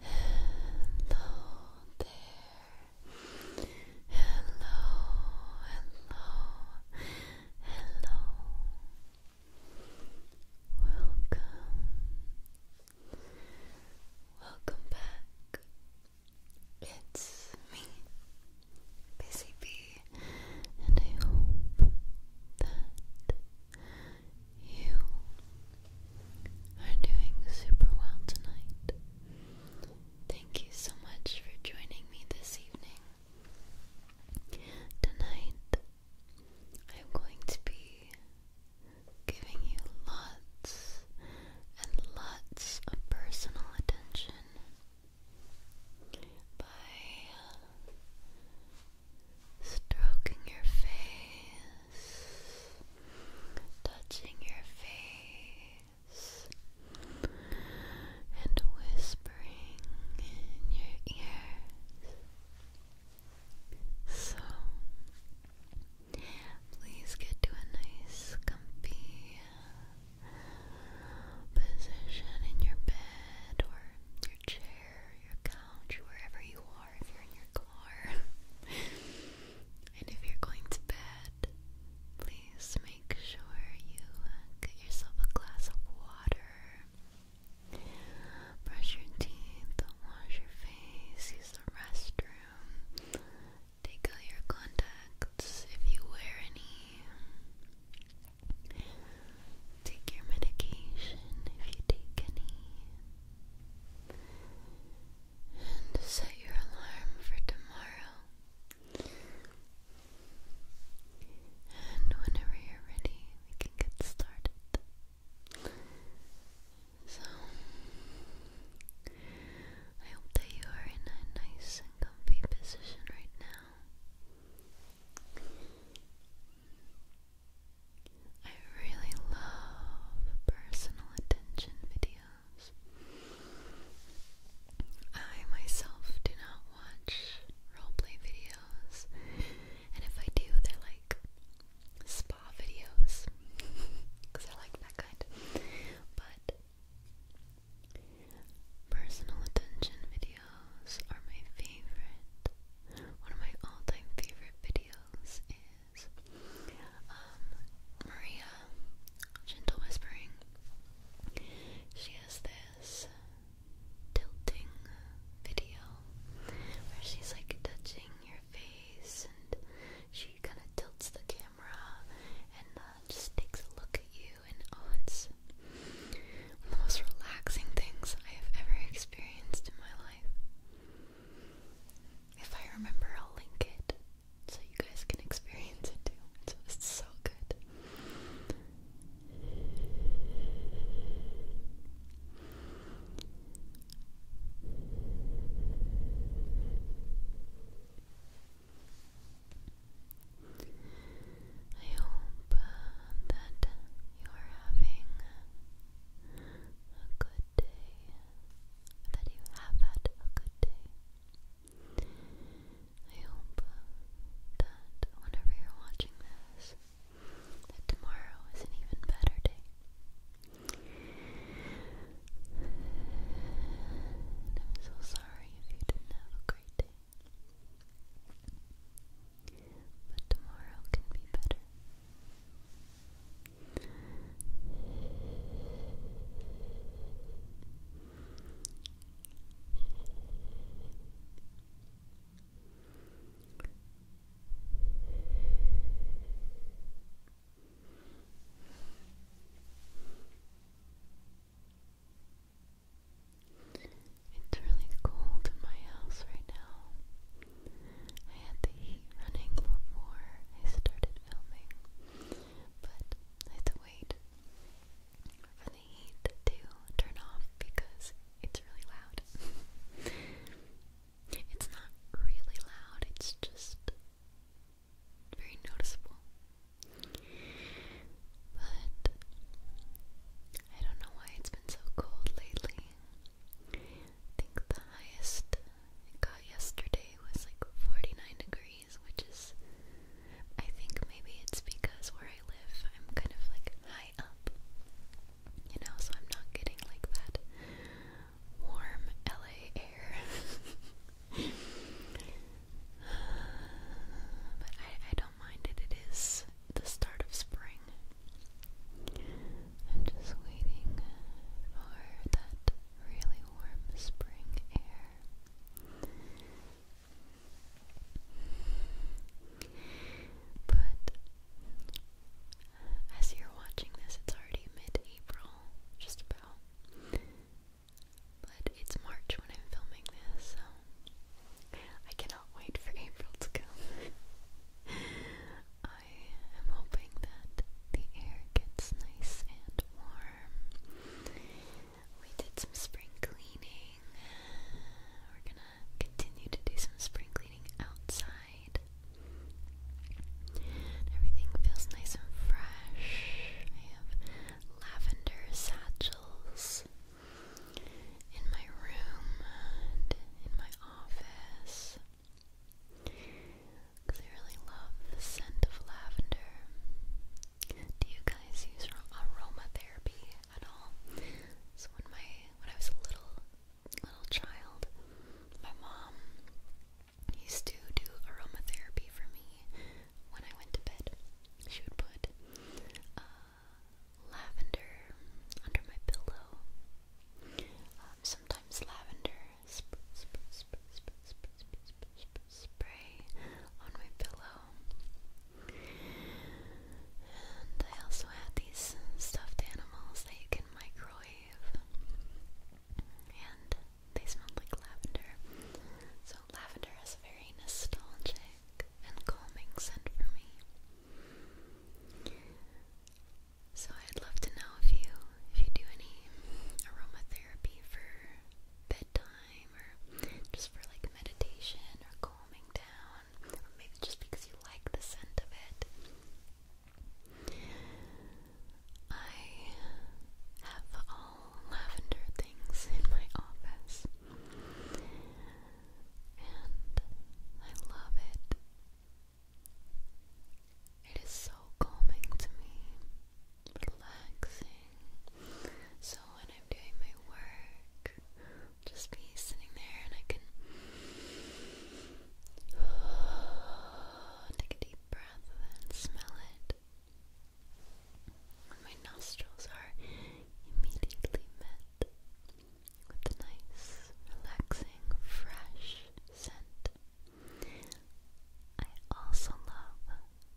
Hello there. Hello, hello, hello. Welcome. Welcome back. It's me, Busy Bee, and I hope that you are doing super well tonight. Thank you so much for joining me this evening. Tonight, I'm going to be giving you lots and lots of personal attention by stroking your face touching your face and whispering in your ears. So, please get to a nice, comfy uh, position in your bed or your chair, your couch, wherever you if you're in your car, and if you're going to bed, please make sure you uh, get yourself a glass of water, brush your teeth, wash your face, use the restroom, take out your contacts if you wear any. Take your medication if you take any and set your alarm for tomorrow. And whenever you're ready, we can get started. So, I hope that you are in a nice and comfy position right now. I really love personal attention videos. I myself do not watch roleplay videos, and if I do, they're like spa videos because I like that kind. But personal attention videos are my favorite. One of my all time favorite videos um, Maria, Gentle Whispering, she has this tilting video where she's like touching your face and she kind of tilts the camera and uh, just takes a look at you and oh it's one of the most relaxing things I have ever experienced in my life. If I remember, I'll link it so you guys can experience it too. It's, so good. I hope uh, that you're having a good day, that you have had a good day. I hope that whenever you're watching this, that tomorrow is an even better day. I'm so sorry if you didn't have a great day but tomorrow can be better. It's really cold in my house right now. I had the heat running before I started filming, but I had to wait for the heat to turn off because it's really loud. it's not really loud, it's just very noticeable. But I don't know why it's been so cold lately think the highest it got yesterday was like 49 degrees, which is, I think maybe it's because where I live, I'm kind of like high up, you know, so I'm not getting like that warm LA air. Uh, but I, I don't mind it, it is the start of spring. I'm just waiting for that really warm spring air. But uh, as you're watching this, it's already mid April, just about. But it's March when I'm filming this, so I cannot wait for April to come. Um, I am hoping that the air gets nice and warm. We did some spring cleaning. We're gonna continue to do some spring cleaning outside. Everything feels nice and fresh. I have lavender satchels in my room and in my office because I really love the scent of lavender. Do you guys use aromatherapy at all? So when my when I was a little little child, my mom used to do aromatherapy for me when I went to bed. She would put uh, lavender under my pillow. Um, sometimes lavender spray on my pillow. And I also had these stuffed animals that you can microwave, and they smelled like lavender. So lavender has a very nostalgic and calming scent for me. So I'd love to know if you if you do any aromatherapy for bedtime or just for like meditation or calming down or maybe just because you like the scent of it. I have all lavender things in my office and I love it. It is so calming to me, relaxing. So when I'm doing my work, just be sitting there and I can take a deep breath and smell it. And my nostrils are immediately met with a nice, relaxing, fresh scent. I also love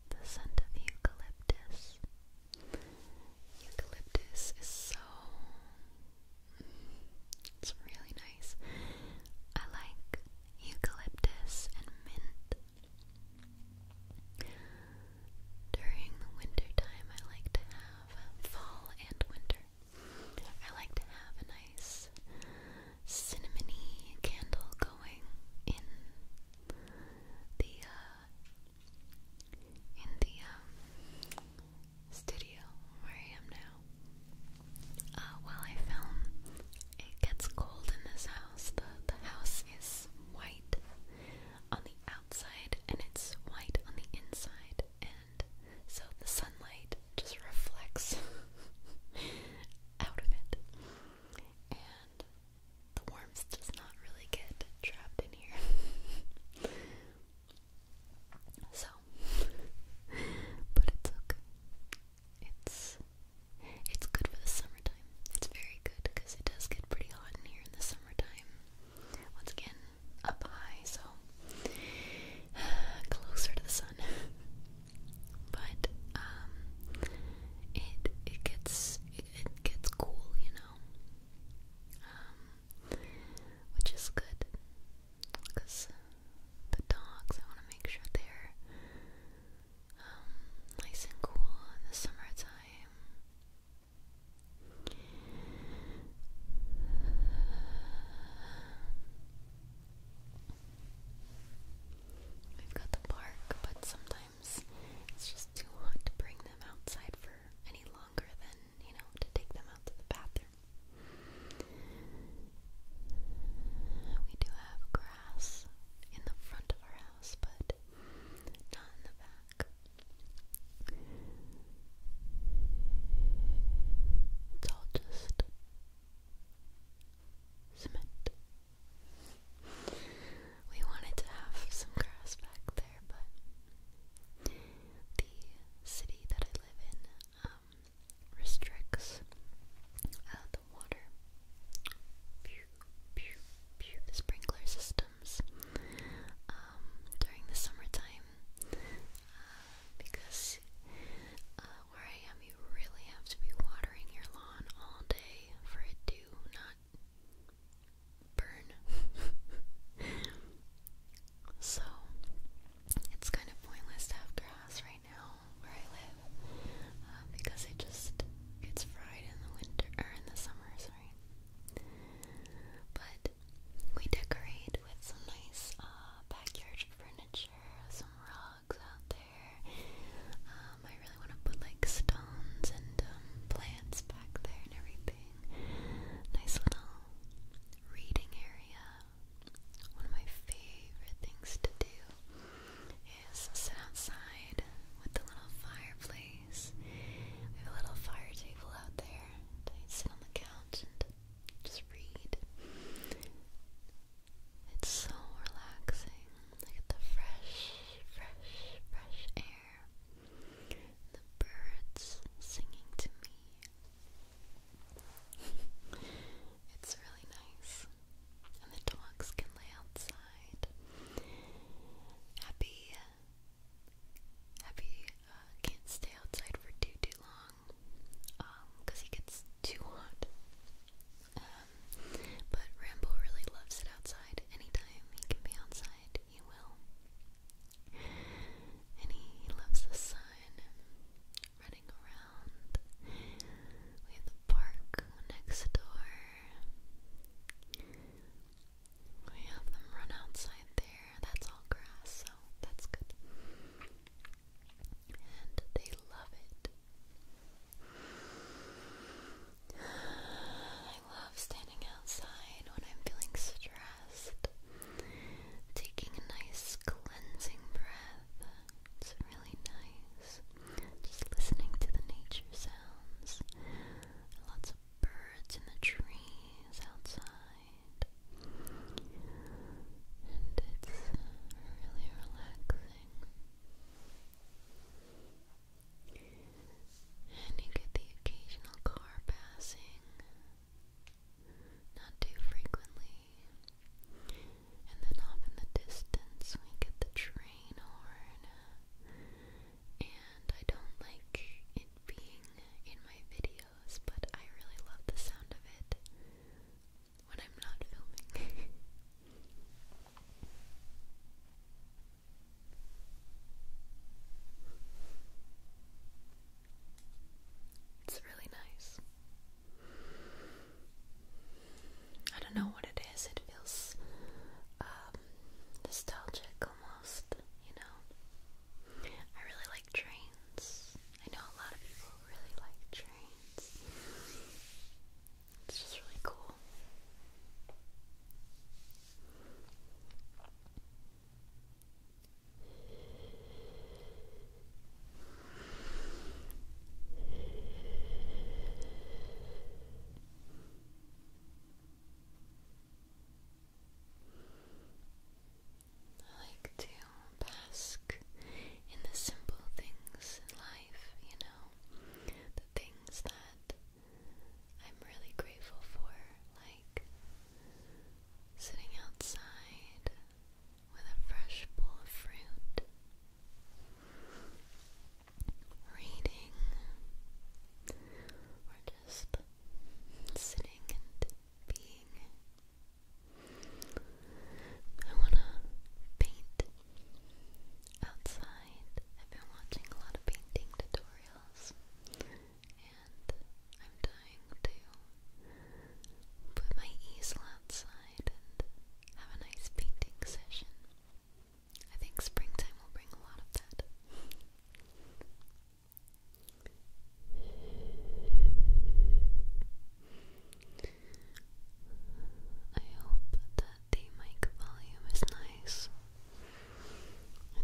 the scent of eucalyptus. Eucalyptus is so. It's really nice. I like eucalyptus and mint. During the winter time, I like to have fall and winter I like to have a nice cinnamony candle going in the uh, in the um, studio where I am now. Uh, while I film, it gets cold in this house. the house is white on the outside and it's white on the inside, so the sunlight just reflects out of it. And the warmth does not really get trapped in here. so, but it's okay. It's it's good for the summertime. It's very good because it does get pretty hot in here in the summertime. Once again, up high, so closer to the sun. But um, it it gets it, gets cool, you know, um, which is good because the dogs. I want to make sure they're um, nice and cool in the summertime. We've got the park, but sometimes it's just too hot to bring them outside for any longer than, you know, to take them out to the bathroom. We do have grass in the front of our house, but not in the back. It's all just cement. We wanted to have some grass back there, but the city that I live in um, restricts uh, the water. sprinkler systems um, during the summertime uh, because uh, where I am, you really have to be watering your lawn all day for it to not burn. so it's kind of pointless to have grass right now where I live uh, because it just gets fried in the winter or in the summer, sorry. But we decorate with some nice uh, backyard furniture, some rugs out there. Um, I really want to put like stones and um, plants back there and everything. Nice little reading area. One of my favorite things to do is sit outside with the little fireplace. We have a little fire table out there i sit on the couch and just read. It's so relaxing. I get the fresh, fresh, fresh air. The birds singing to me. it's really nice. And the dogs can lay outside. Happy Happy uh, can't stay outside for too too long, um, cause he gets too hot. Um, but Rambo really loves it outside. Anytime he can be outside, he will. And he loves the sun, running around. We have the park next door. We have them run outside there. That's all grass, so that's good. And they love it. I love standing outside when I'm feeling stressed. Taking a nice cleansing breath. It's really nice. Just listening to the nature sounds. Lots of birds in the trees outside, and it's uh, really relaxing. And you get the occasional car passing, not too frequently. And then off in the distance, we get the train horn and I don't like it being in my videos, but I really love the sound of it when I'm not filming. It's really nice. I don't know what it is. It feels um, nostalgic almost, you know. I really like trains. I know a lot of people really like trains. It's just really cool. I like to bask in the simple things in life, you know, the things that I'm really grateful for, like sitting outside with a fresh bowl of fruit, reading, just sitting and being. I want to paint outside. I've been watching a lot of painting tutorials and I'm dying to put my easel outside and have a nice painting session. I think springtime will bring a lot of that. I hope that the mic volume is nice.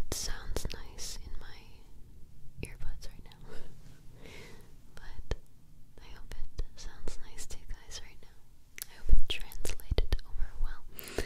It sounds nice in my earbuds right now. but I hope it sounds nice to you guys right now. I hope it translated over well.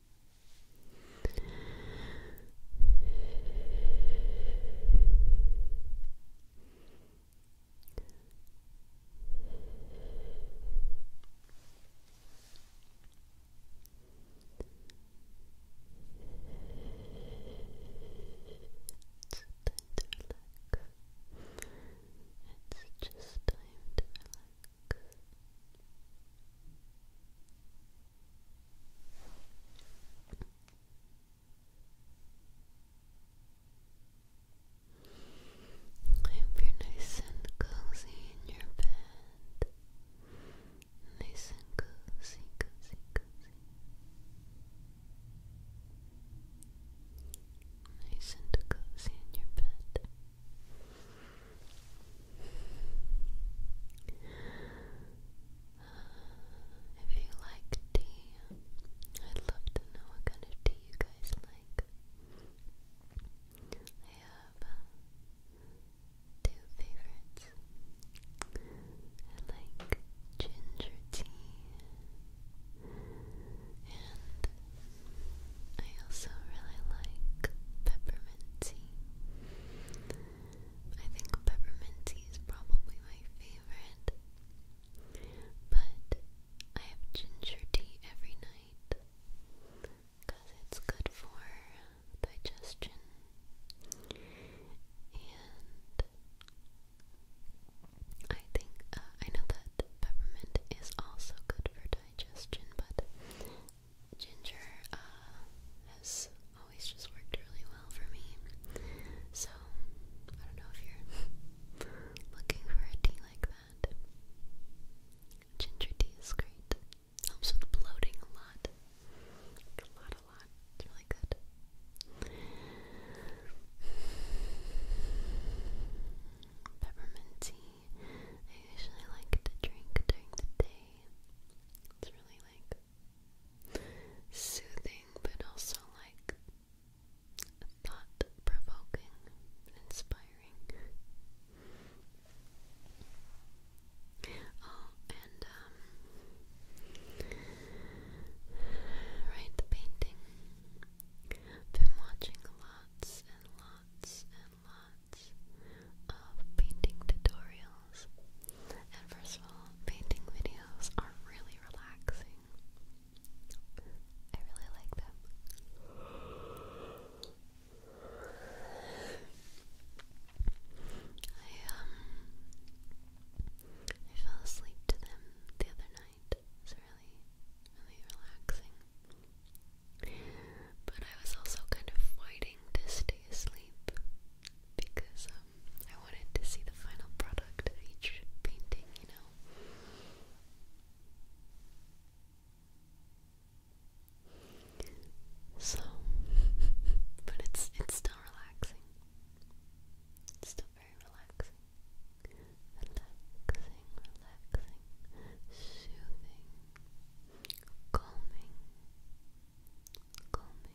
It's time to relax. It's just time to relax. I hope you're nice and cozy in your bed. Nice and cozy, cozy, cozy. Nice and cozy in your bed. Uh, if you like tea, I'd love to know what kind of tea you guys like. I have uh, two favorites. I like ginger tea and I also really like peppermint tea. I think peppermint tea is probably my favorite. But I have ginger tea every night because it's good for digestion and I think uh, I know that peppermint is also good for digestion but Ginger uh, has always just worked really well for me. So, I don't know if you're looking for a tea like that. Ginger tea is great. Helps with bloating a lot. a lot, a lot. really good. Peppermint tea. I usually like to drink during the day. It's really like soothing, but also like thought provoking, inspiring. Oh, and um, right, the painting. been watching lots and lots and lots of painting tutorials. And first of all, painting videos are really relaxing. I really like them. I um I fell asleep to them the other night. It's really really relaxing. But I was also kind of fighting this day asleep because um, I wanted to see the final product of each painting, you know. So, but it's it's still relaxing. It's still very relaxing. Relaxing, relaxing, soothing, calming, calming, calming.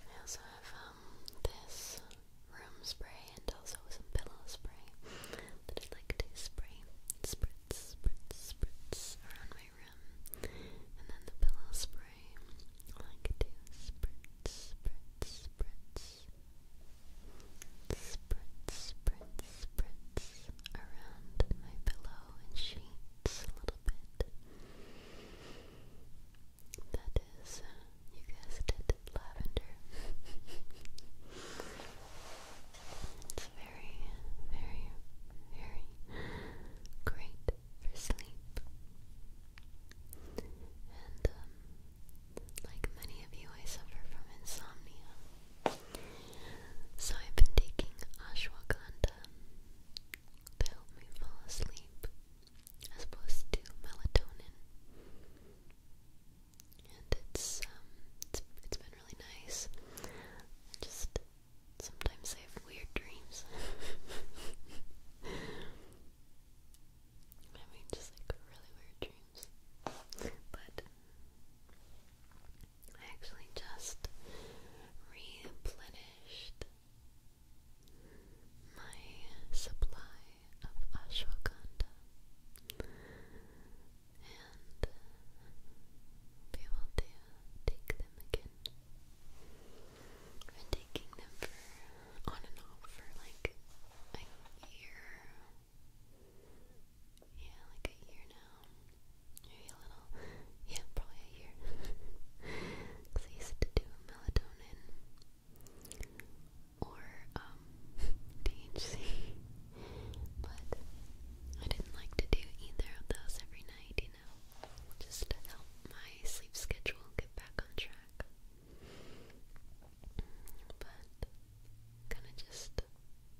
I also have um, this room spray and also some pillow spray that I like to spray spritz spritz spritz around my room. And then the pillow spray I like to spritz spritz spritz spritz spritz spritz around my pillow and sheets a little bit. That is, uh, you guessed it, lavender. it's very, very, very great for sleep. And, um, like many of you, I suffer from insomnia. So I've been taking ashwagandha to help me fall asleep as opposed to melatonin. And it's um it's it's been really nice. just sometimes I have weird dreams. I mean just like really weird dreams. But I actually just replenished my supply of ashwagandha and uh, be able to take them again. I've been taking them for on and off for like a year yeah, like a year now. Maybe a little. Yeah, probably a year. Because I used to do melatonin or um, But I didn't like to do either of those every night, you know, just to help my sleep schedule get back on track. But kind of just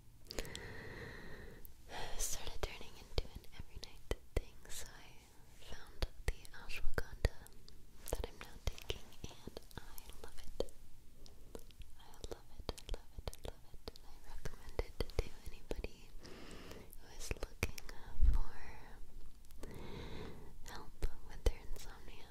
started turning into an every night thing, so I found the ashwagandha that I'm now taking, and I love it. I love it, I love it, I love it, and I recommend it to anybody who is looking for help with their insomnia.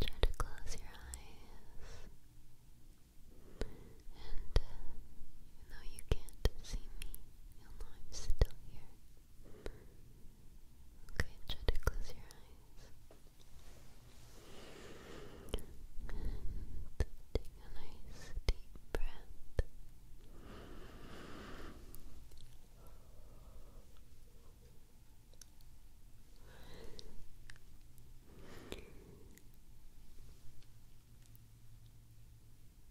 Try to close your eyes. And though uh, you can't see me, know I'm still here. Okay, try to close your eyes. take a nice deep breath. I want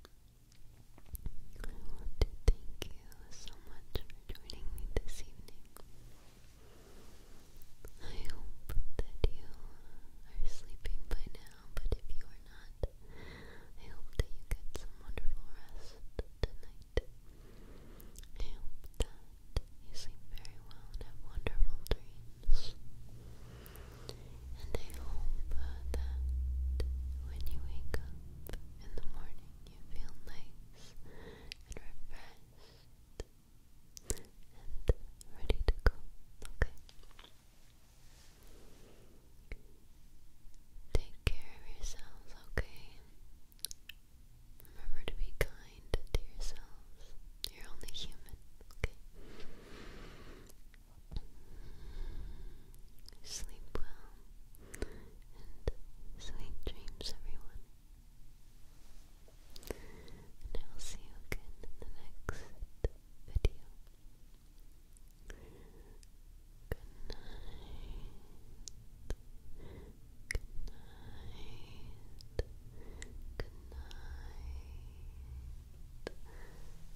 to thank you so much for joining me this evening. I hope that you are sleeping by now, but if you are not, I hope that you get some wonderful rest tonight. I hope that you sleep very well and have wonderful dreams. And I hope that when you wake up in the morning, you feel nice and refreshed and ready to go, okay? Take care of yourselves, okay? Remember to be kind to yourselves. You're only human, okay? Sleep well and sweet dreams, everyone. And I will see you again in the next video. Good night. Good night. Good night.